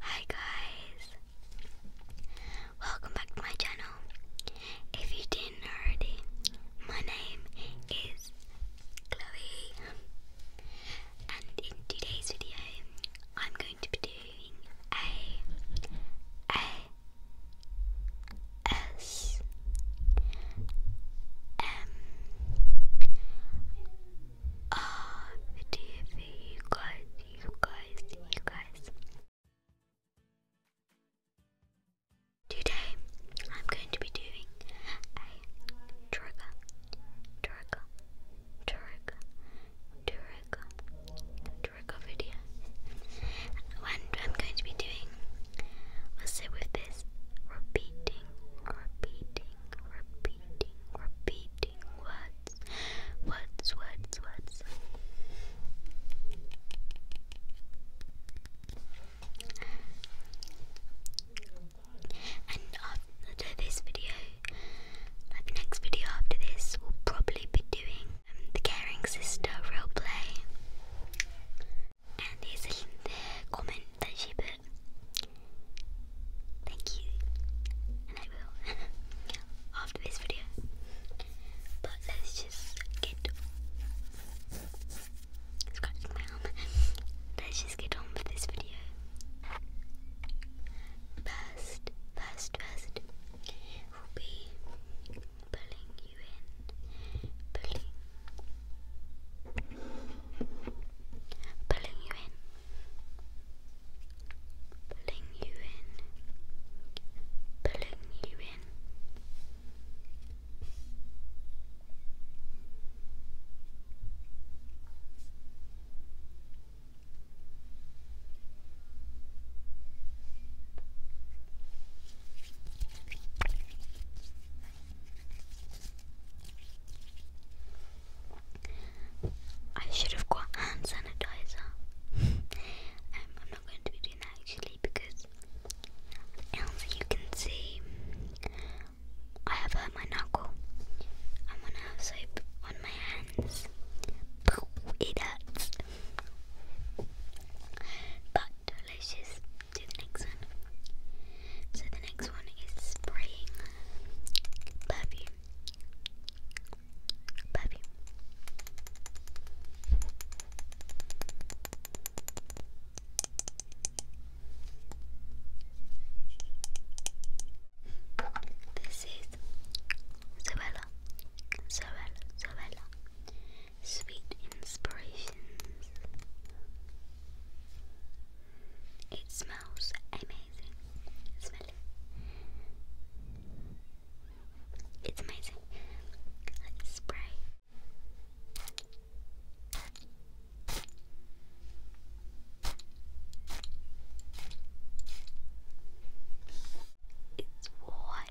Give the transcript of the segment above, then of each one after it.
Hi guys, welcome back to my channel. If you didn't already, my name is Chloe, and in today's video, I'm going to be doing a a s m Ah, the TV, you guys, you guys, you guys. Today, I'm going to be doing a trigger, trigger, trigger, trigger, trigger video. One I'm going to be doing also with this repeating, repeating, repeating repeating, words, words, words, words. And after this video, like next video after this, we'll probably be doing um, the Caring Sister role play. And here's the comment that she put. Thank you. And I will after this video. But let's just get scratching my arm. let's just get on with this video. First, first, first will be pulling you in. Pulling pulling you in, pulling you in, pulling you in. I should have got hand sanitizer. Um, I'm not going to be doing that actually because, as you can see, I have hurt my knuckle. I'm gonna have soap on my hands. It hurts. But let do the next one. So the next one is spraying Love you. Love you. This is Zoella, Zoella, Zoella. Sweet inspirations. It smells amazing. Smell It's amazing. Let's spray. It's white.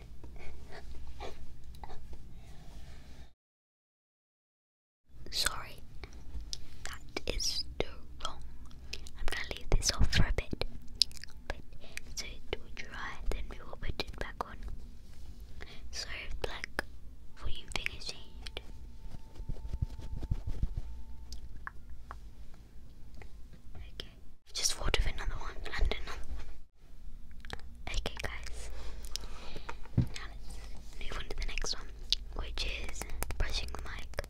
Sorry, that is the wrong. I'm gonna leave this off for a bit, so it will dry, then we will put it back on. So, black volume thing is changed. Okay, just thought of another one another one. Okay, guys, now let's move on to the next one, which is brushing the mic.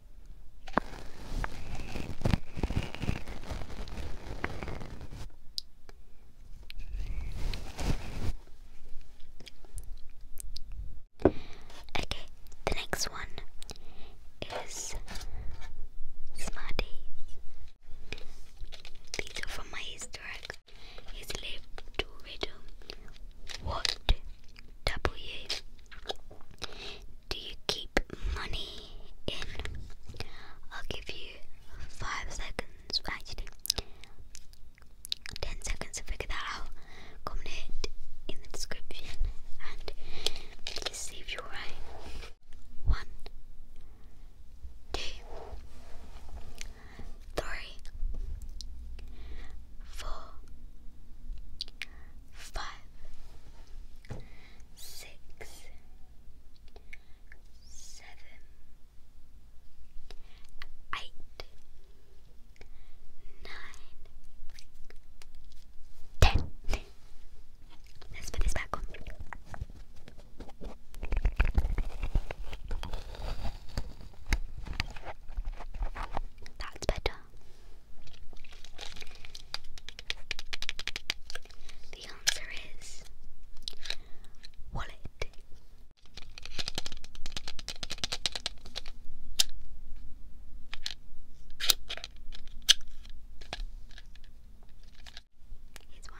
Okay, the next one is Smarties. These are from my Easter egg. His lips to riddle what W. Do you keep money in? I'll give you five seconds. Actually, ten seconds to figure that out. Comment it in the description and see if you're right. One, two, three, four five, six, seven, eight, nine, ten. Let's put this back on. That's better. The answer is wallet. Here's one.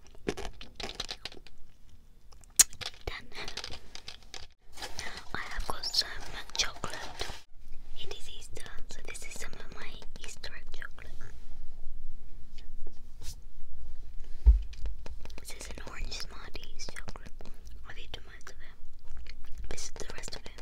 Done. I have got some chocolate. It is Easter, so this is some of my Easter egg chocolate. This is an orange Smarties chocolate. I've eaten most of it. This is the rest of it.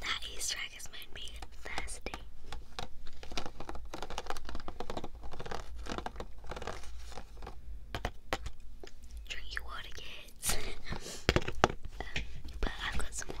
That Easter egg has made me thirsty. Drink your water, kids. Um, but I've got some water.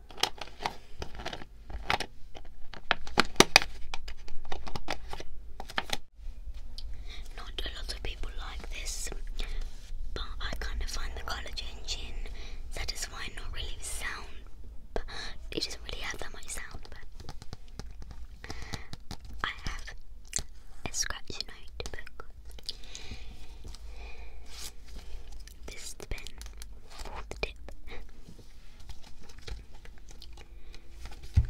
Not a lot of people like this, but I kind of find the color changing satisfying, not really the sound. But it doesn't really have that much sound, but I have a scratch notebook. This is the pen. Hold tip.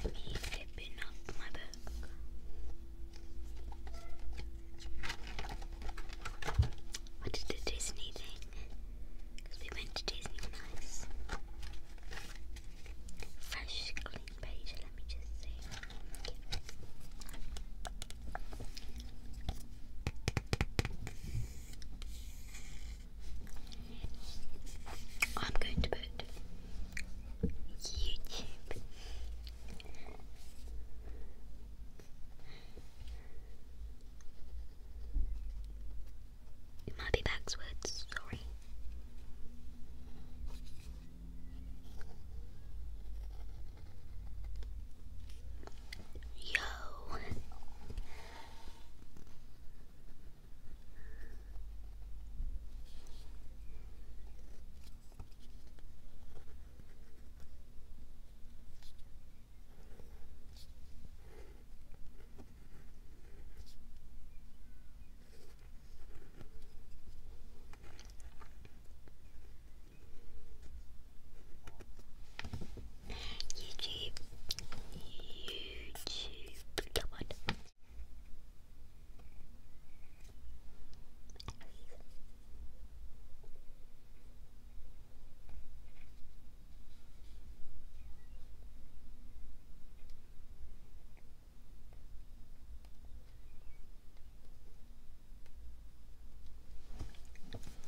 Let me open up my book. I did the Disney we went to Disney on Fresh, clean page. Let me just see. I'm going to put YouTube it might be backwards, sorry. Yo. YouTube, YouTube, come on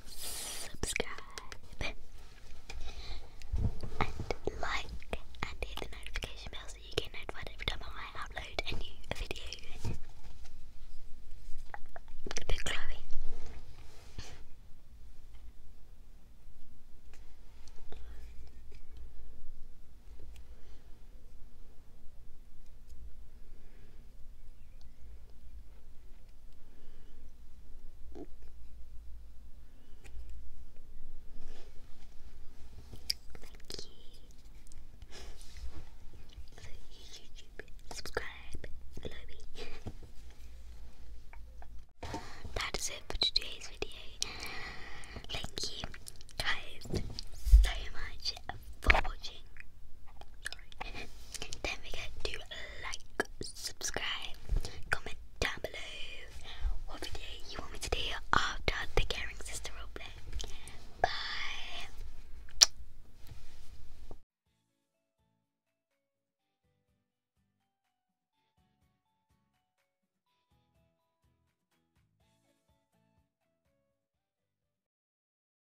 subscribe, and like, and hit the notification bell so you get notified every time I upload a new video. But Chloe, Thank you Subscribe, that is it for today's video. Thank you guys so much for watching. Sorry. Don't forget to like, subscribe, comment down below what video you want me to do after the caring sister roleplay. Bye.